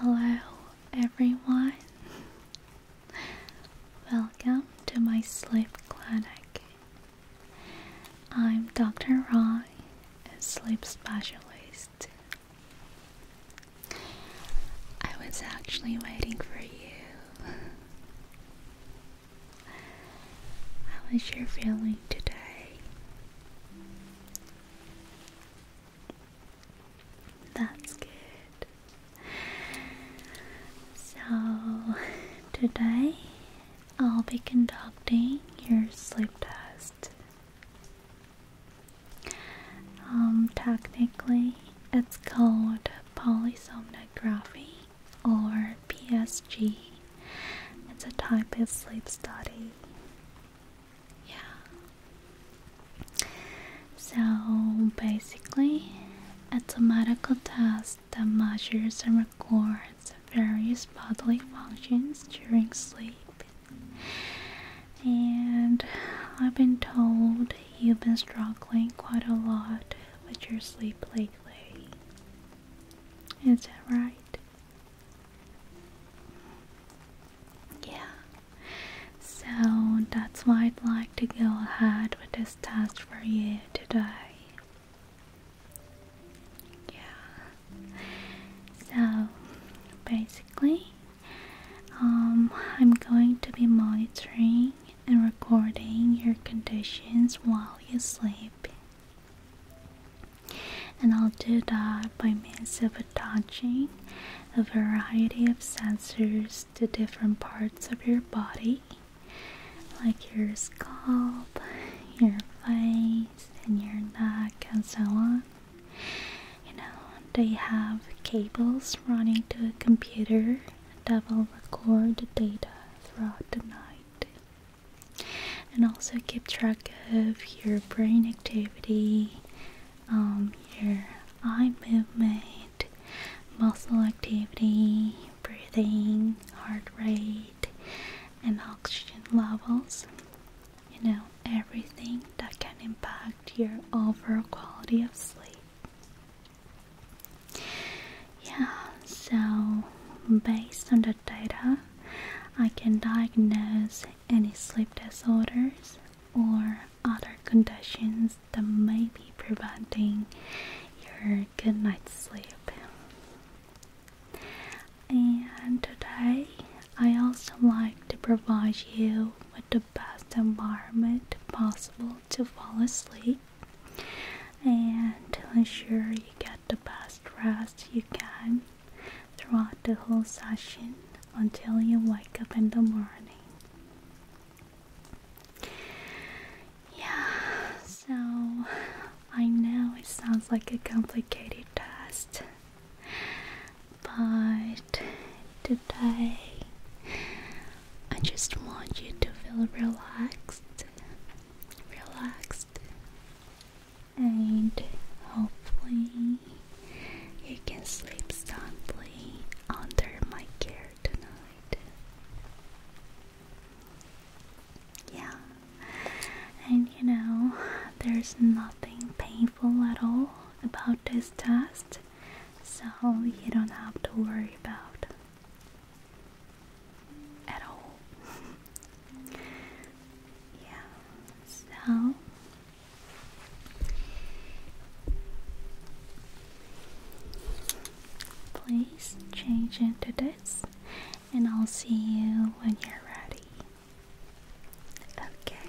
Hello, everyone. Welcome to my sleep clinic. I'm Dr. Roy, a sleep specialist. I was actually waiting for you. How is your feeling today? That's good. So, today I'll be conducting your sleep test. Um, technically, it's called polysomnography or PSG. It's a type of sleep study. Yeah. So basically, it's a medical test that measures and records various bodily functions during sleep. And I've been told you've been struggling quite a lot with your sleep lately. Is that right? Yeah. So that's why I'd like to go ahead with this test for you today. Yeah. So basically, um, I'm going to be monitoring and recording your conditions while you sleep. And I'll do that by means of attaching a variety of sensors to different parts of your body, like your scalp, your face, and your neck, and so on. You know, they have cables running to a computer that will record the data throughout the night and also keep track of your brain activity, um, your eye movement, muscle activity, breathing, heart rate, and oxygen levels you know, everything that can impact your overall quality of sleep. Yeah, so based on the data, I can diagnose any sleep disorders or other conditions that may be preventing your good night's sleep. And today I also like to provide you with the best environment possible to fall asleep and to ensure you get the best rest you can throughout the whole session until you wake up in the morning. Yeah, so I know it sounds like a complicated test. But today, I just want you to feel relaxed, relaxed, and hopefully, you can sleep soundly under my care tonight. Yeah, and you know, there's nothing painful at all about this test so you don't have to worry about at all. yeah, so please change into this and I'll see you when you're ready. Okay.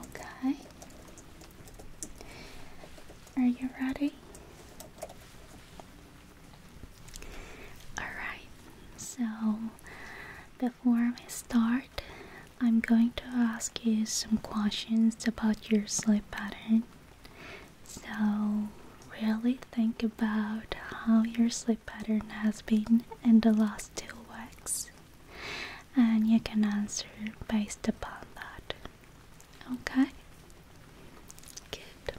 Okay. Are you ready? Alright, so before we start, I'm going to ask you some questions about your sleep pattern. So, really think about how your sleep pattern has been in the last two weeks and you can answer based upon that. Okay? Good.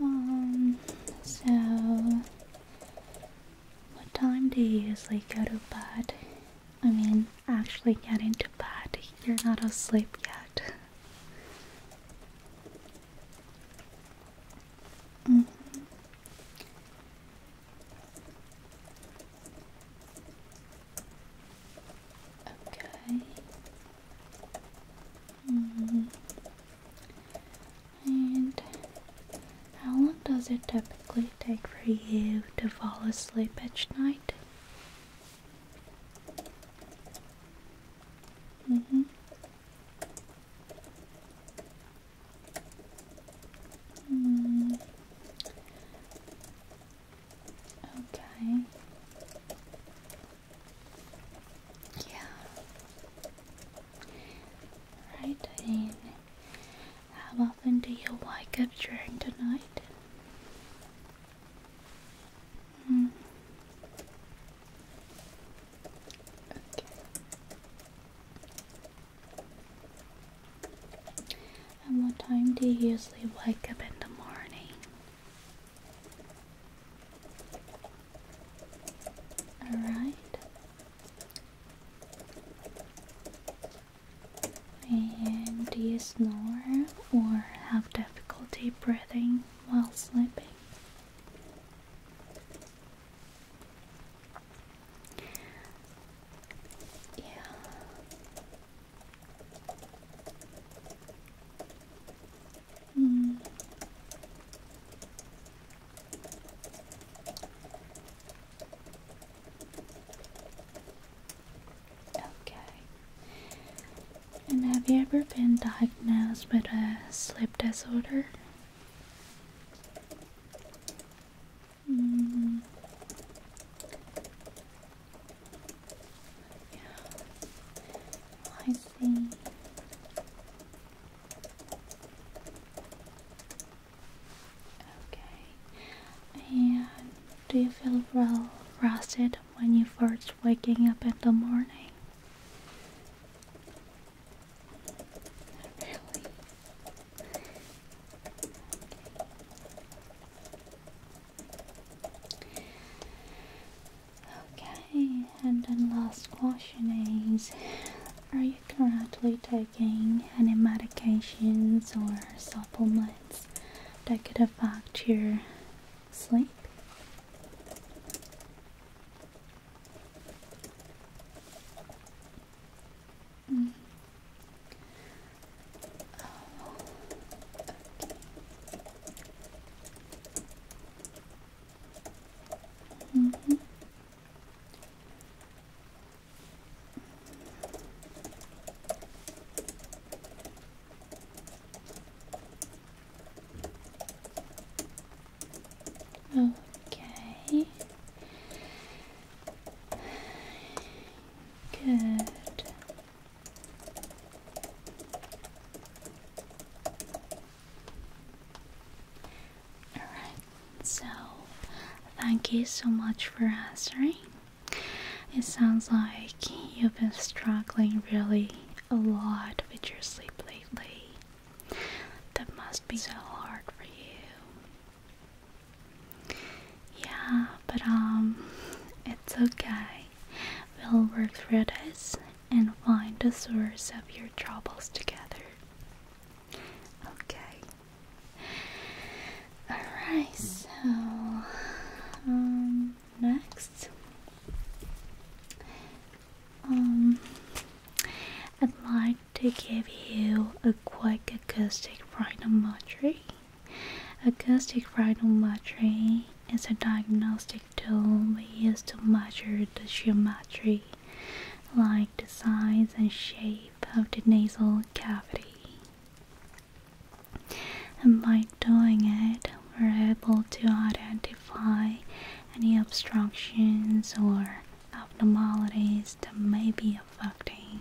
Um, so, what time do you usually go to bed? I mean, actually get into bed. You're not asleep yet. -hmm. Okay. Mm. And how long does it typically take for you to fall asleep each night? Mm hmm Okay. Yeah. Right How often do you wake up during the night? Hmm. And what time do you usually wake up in the morning? Alright. And do you snore or have difficulty breathing while sleeping? Yeah. Mm. Okay. And have you ever been diagnosed with a sleep disorder? Mm. I see. Okay. And do you feel well rested when you first waking up in the morning? Really? Okay, and then last question is Are you currently taking any medications or supplements that could affect your sleep? Mm-hmm. Oh, okay. Okay. Good. All right. So, thank you so much for answering. It sounds like you've been struggling really a lot with your sleep lately. That must be so hard for you. Yeah, but um, it's okay. We'll work through this and find the source of your troubles together. Okay. Alright, so um, next. Um, I'd like to give you a quick acoustic rhinometry Acoustic rhinometry is a diagnostic tool used to measure the geometry, like the size and shape of the nasal cavity. And by doing it, we're able to identify any obstructions or abnormalities that may be affecting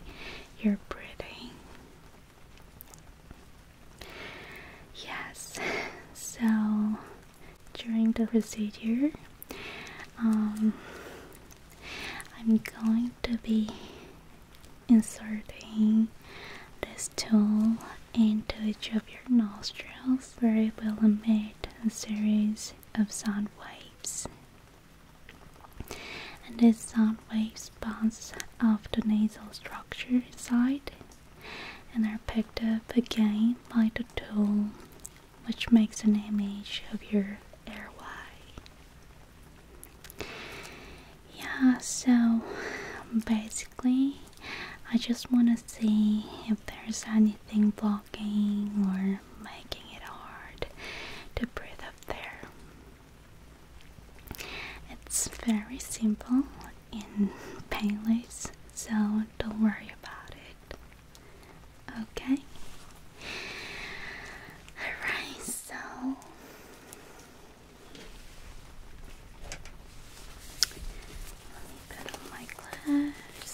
your breathing. Yes, so during the procedure, um, I'm going to be inserting this tool into each of your nostrils where it will emit a series of sound waves and these sound waves bounce off the nasal structure inside and are picked up again by the tool, which makes an image of your airway. Yeah, so basically, I just want to see if there's anything blocking or making it hard to breathe up there. It's very simple in Payless, so don't worry about it. Okay? Alright, so let me put on my gloves.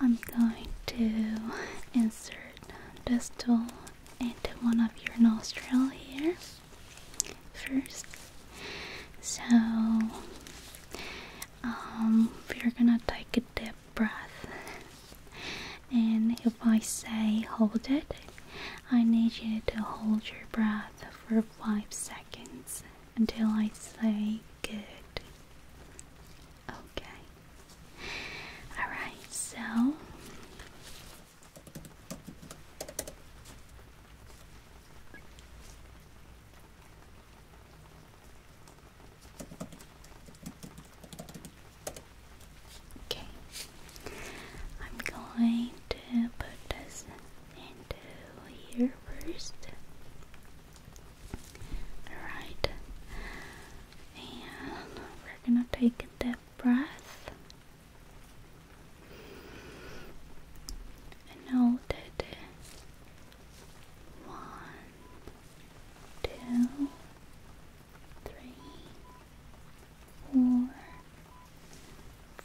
I'm going to insert this tool into one of your nostril here first. So you um, are gonna take a deep breath, and if I say hold it, I need you to hold your breath for five seconds until I say good. Okay. Alright, so Okay. I'm going to put this into here first. Alright. And we're gonna take a deep breath. And One, two, three, four,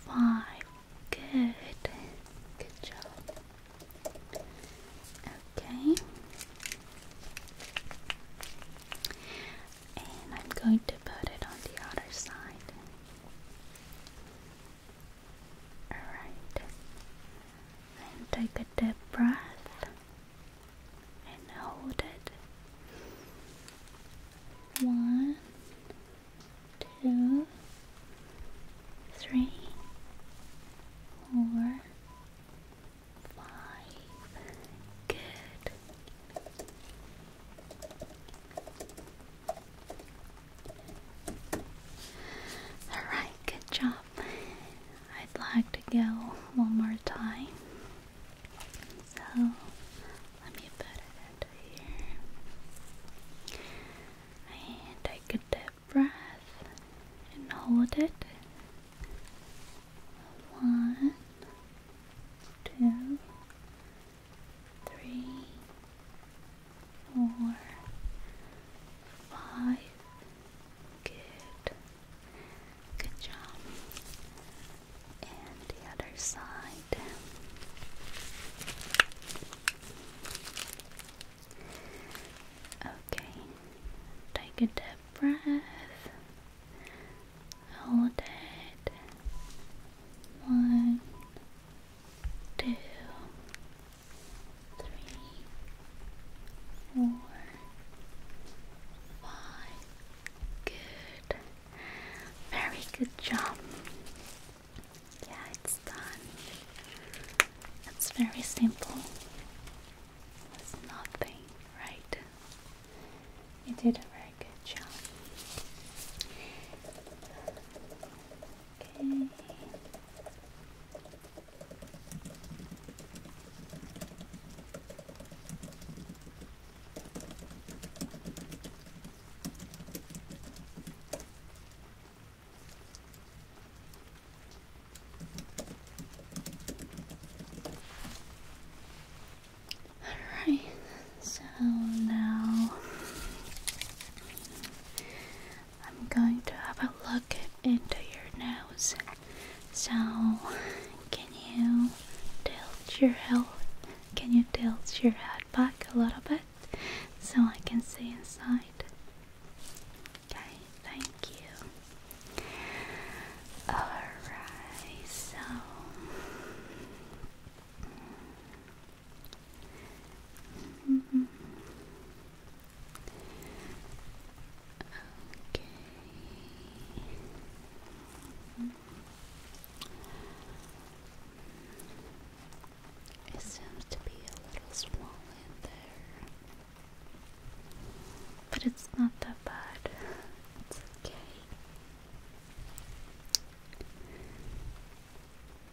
five. Good. Good job. Okay. And I'm going to put it on the other side. Alright. And take a deep breath and hold it. One, two, three, four, five. Good. Alright, good job. I'd like to go one more time. So let me put it here. And I could do deep breath and hold it. One, two, three, four, five. Good. Good job. And the other side. Okay. Take a dip breath. Hold it. One, two, three, four, five. Good. Very good job. Yeah, it's done. It's very simple was nothing, right? You did a very good job. Okay. Alright, so now I'm going to have a look into your nose. So, can you tilt your head? Can you tilt your head back a little bit so I can see inside? Okay, thank you. Alright, so Okay. It seems to be a little small there. But it's not that bad. It's okay.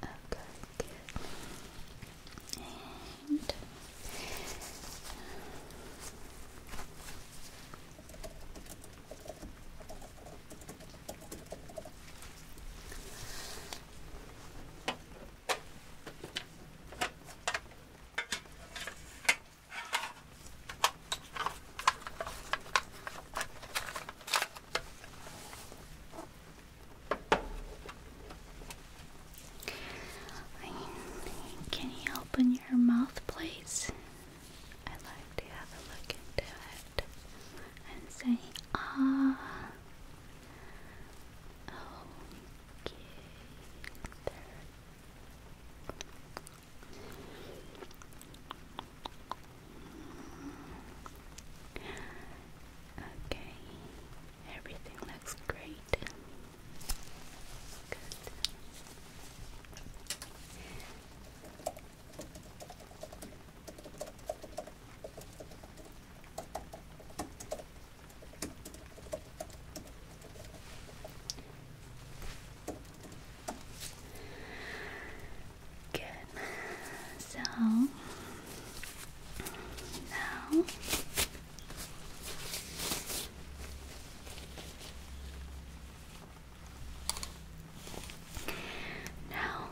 Okay, can you open your mouth, please? I'd like to have a look into it and say, ah. Okay, there Okay, everything looks great. Good. Good. So now now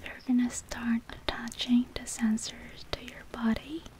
we're gonna start attaching the sensors to your body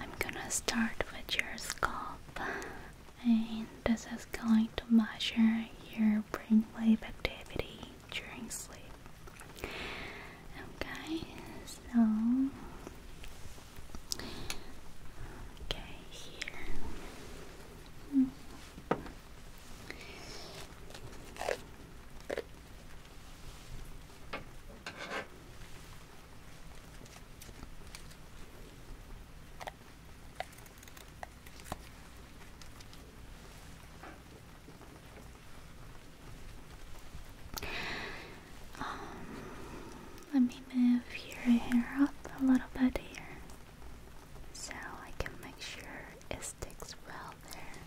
I'm gonna start with your scalp, and this is going to measure your brainwave activity during sleep. Okay, so okay here. Um, let me move your hair up a little bit here so I can make sure it sticks well there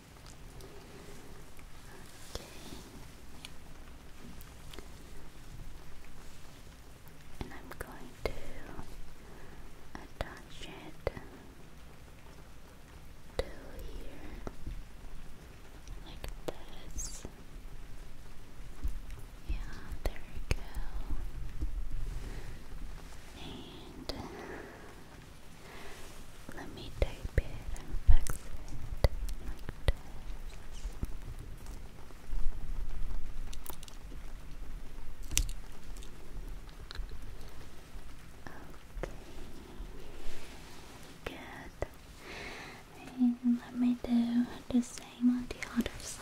and I'm going to attach it to here like this. Yeah, there we go. And let me take Okay, good. And let me do the same on the other side.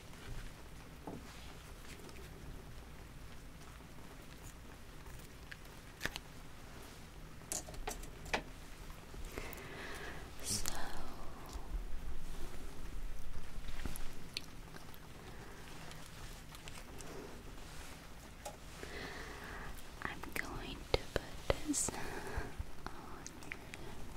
So I'm going to put this on your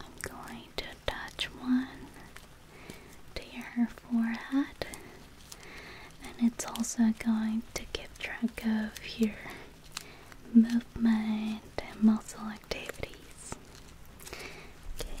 I'm going to touch one to your forehead, and it's also going to keep track of your movement and muscle activities. Okay.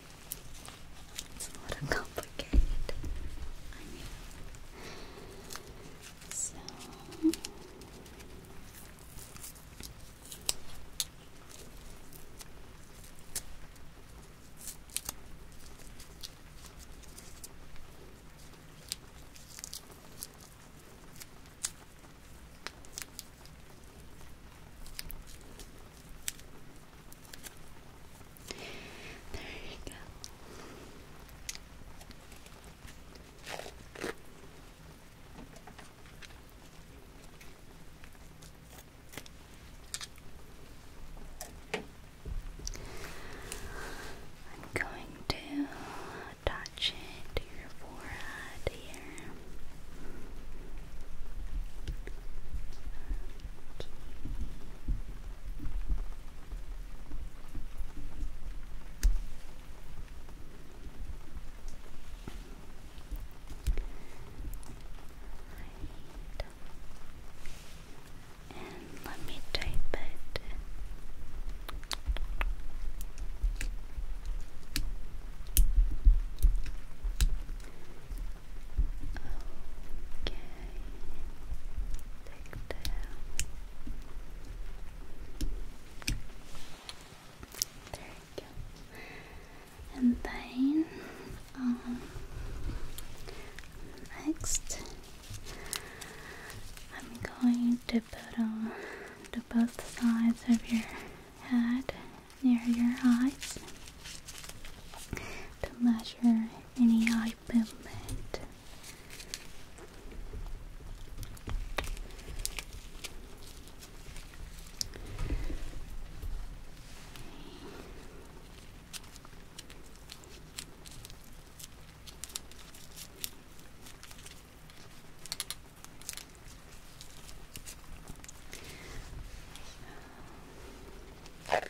It's a little complicated. I know. So there you I'm going to touch it to your forehead here. Right. And let me type it. Okay, take down. There you go. And then, um, next, I'm going to put on the both sides of your head near your eyes to measure any eye movement. Okay.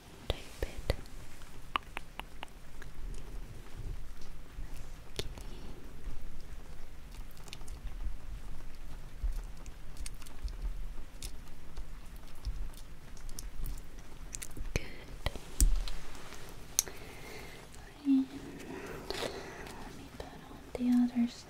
type it. Okay. Good. And let me put on the other side.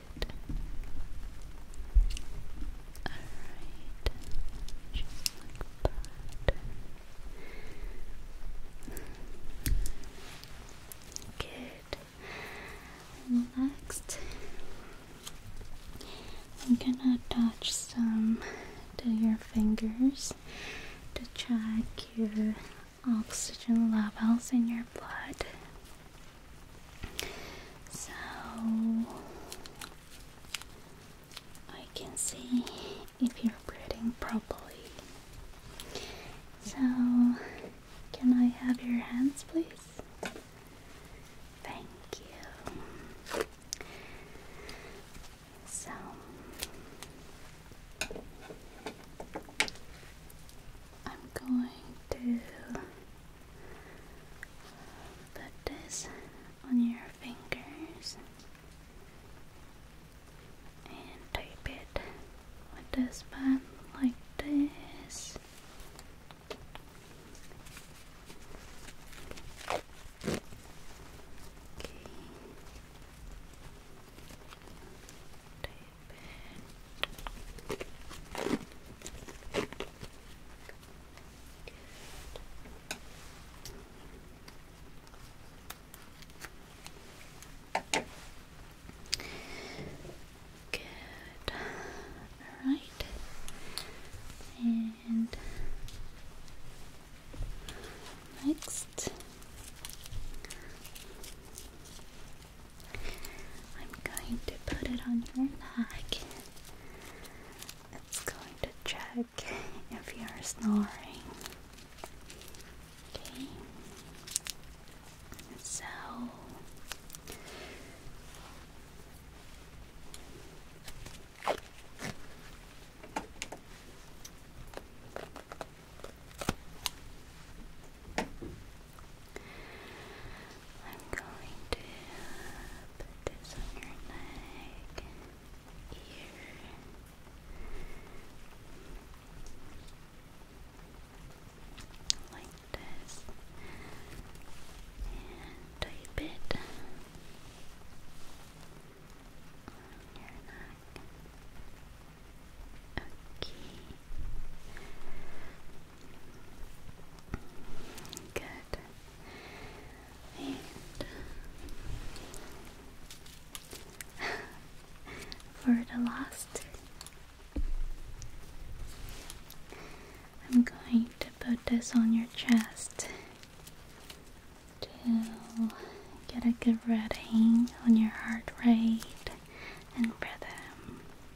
Alright. Good. Next, I'm gonna touch some to your fingers to check your oxygen levels in your blood. So I can see if you're breathing properly. So, can I have your hands, please? Thank you. So, I'm going to put this on your fingers and tape it with this band like this. Good. All right. And next I'm going to put it on your neck. It's going to check if you're snoring. Okay. So I'm going to put this on your neck, ear. Like this, and type it on your neck. Okay, Good. And for the last, I'm going to put this on your chest to get a good reading on your heart rate and rhythm.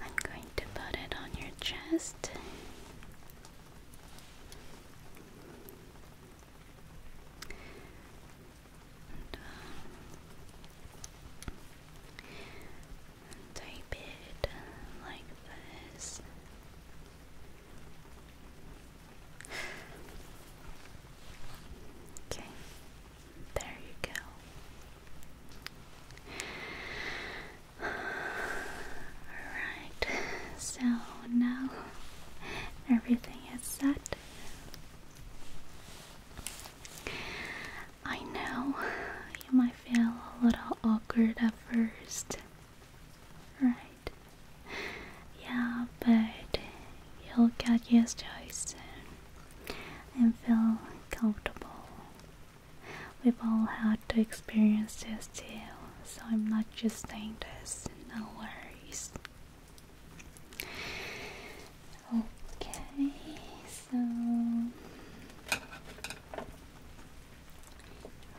I'm going to put it on your chest. And, uh, it like this. Okay, there you go. Alright, so now everything is set. I know you might feel a little awkward at first, right? yeah, but you'll get used to it soon and feel comfortable. We've all had to experience this too, so I'm not just saying this, no worries. Okay, so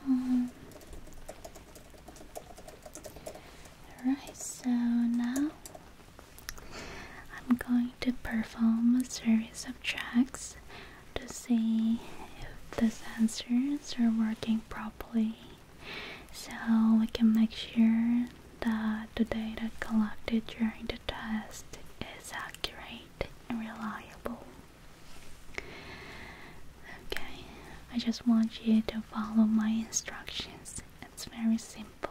um, Alright, so now I'm going to perform a series of checks to see if the sensors are working properly so we can make sure that the data collected during the test is accurate and reliable. Okay, I just want you to follow my instructions. It's very simple.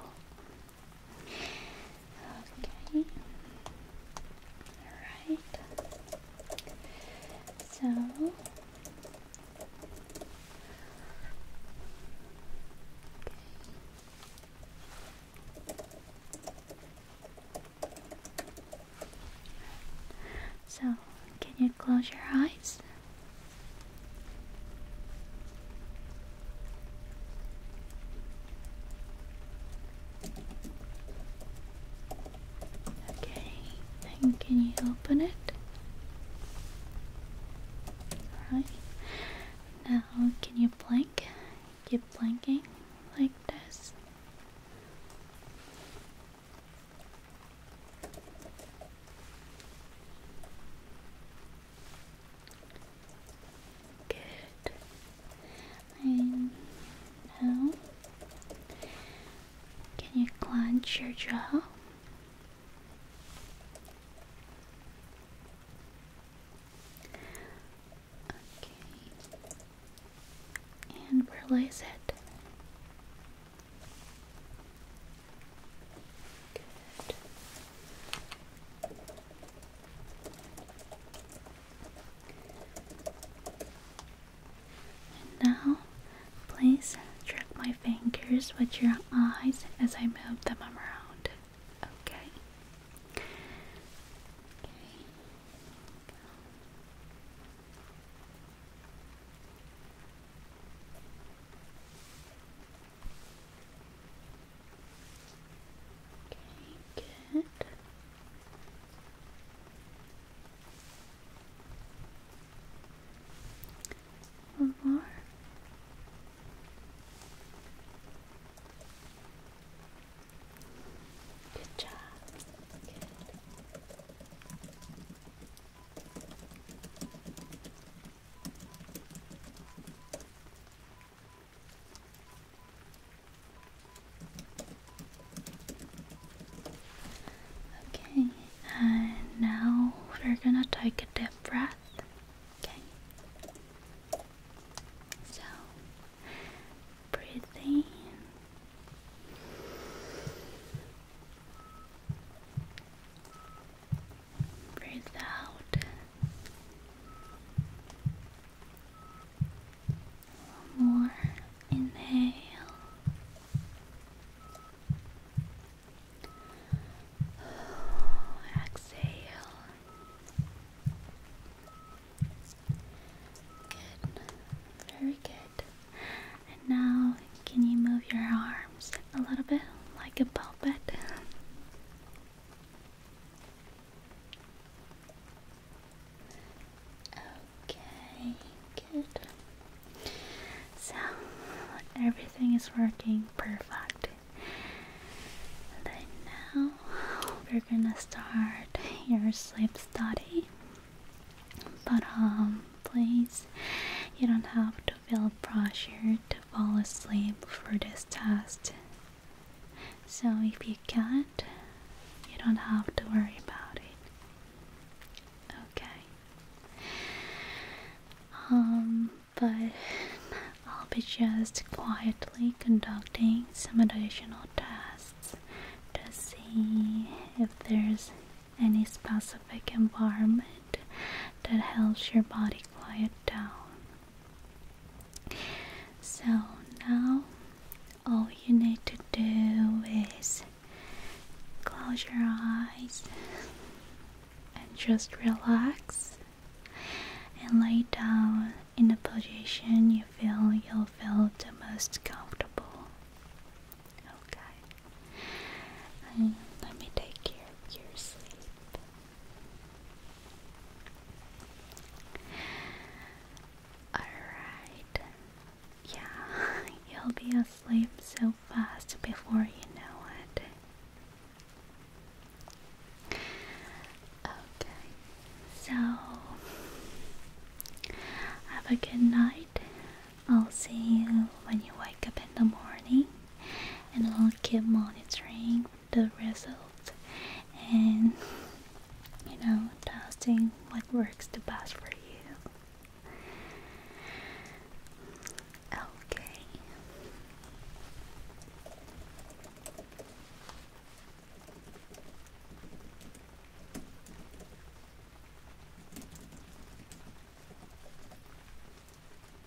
Okay. Alright. So okay. So, can you close your eyes? Okay, can you open it? Alright. Now can you blink? Keep blinking like this. Good. And now, can you clench your jaw? Okay. And release it. And now, please track my fingers with your eyes as I move them around. Okay good. One more. Good job. Good. Okay, and now we're gonna take a deep breath. Okay. So breathe Breathe out. more inhale. Exhale. Good. Very good. And now can you move your arms a little bit like a puppet? Okay, good. So everything is working perfect. Then now we're gonna start your sleep study. But um please you don't have to feel pressured to fall asleep for this test. So if you can't, you don't have to worry about it. Okay. Um, but I'll be just quietly conducting some additional tests to see if there's any specific environment that helps your body quiet down. So now all you need to do is close your eyes and just relax and lay down in a position you feel you'll feel the most comfortable. Okay let me take care of your sleep. Alright. Yeah, you'll be asleep so fast before you know it. Okay, so have a good night. I'll see you when you wake up in the morning and I'll keep monitoring the results and you know testing what works the best for you. Okay.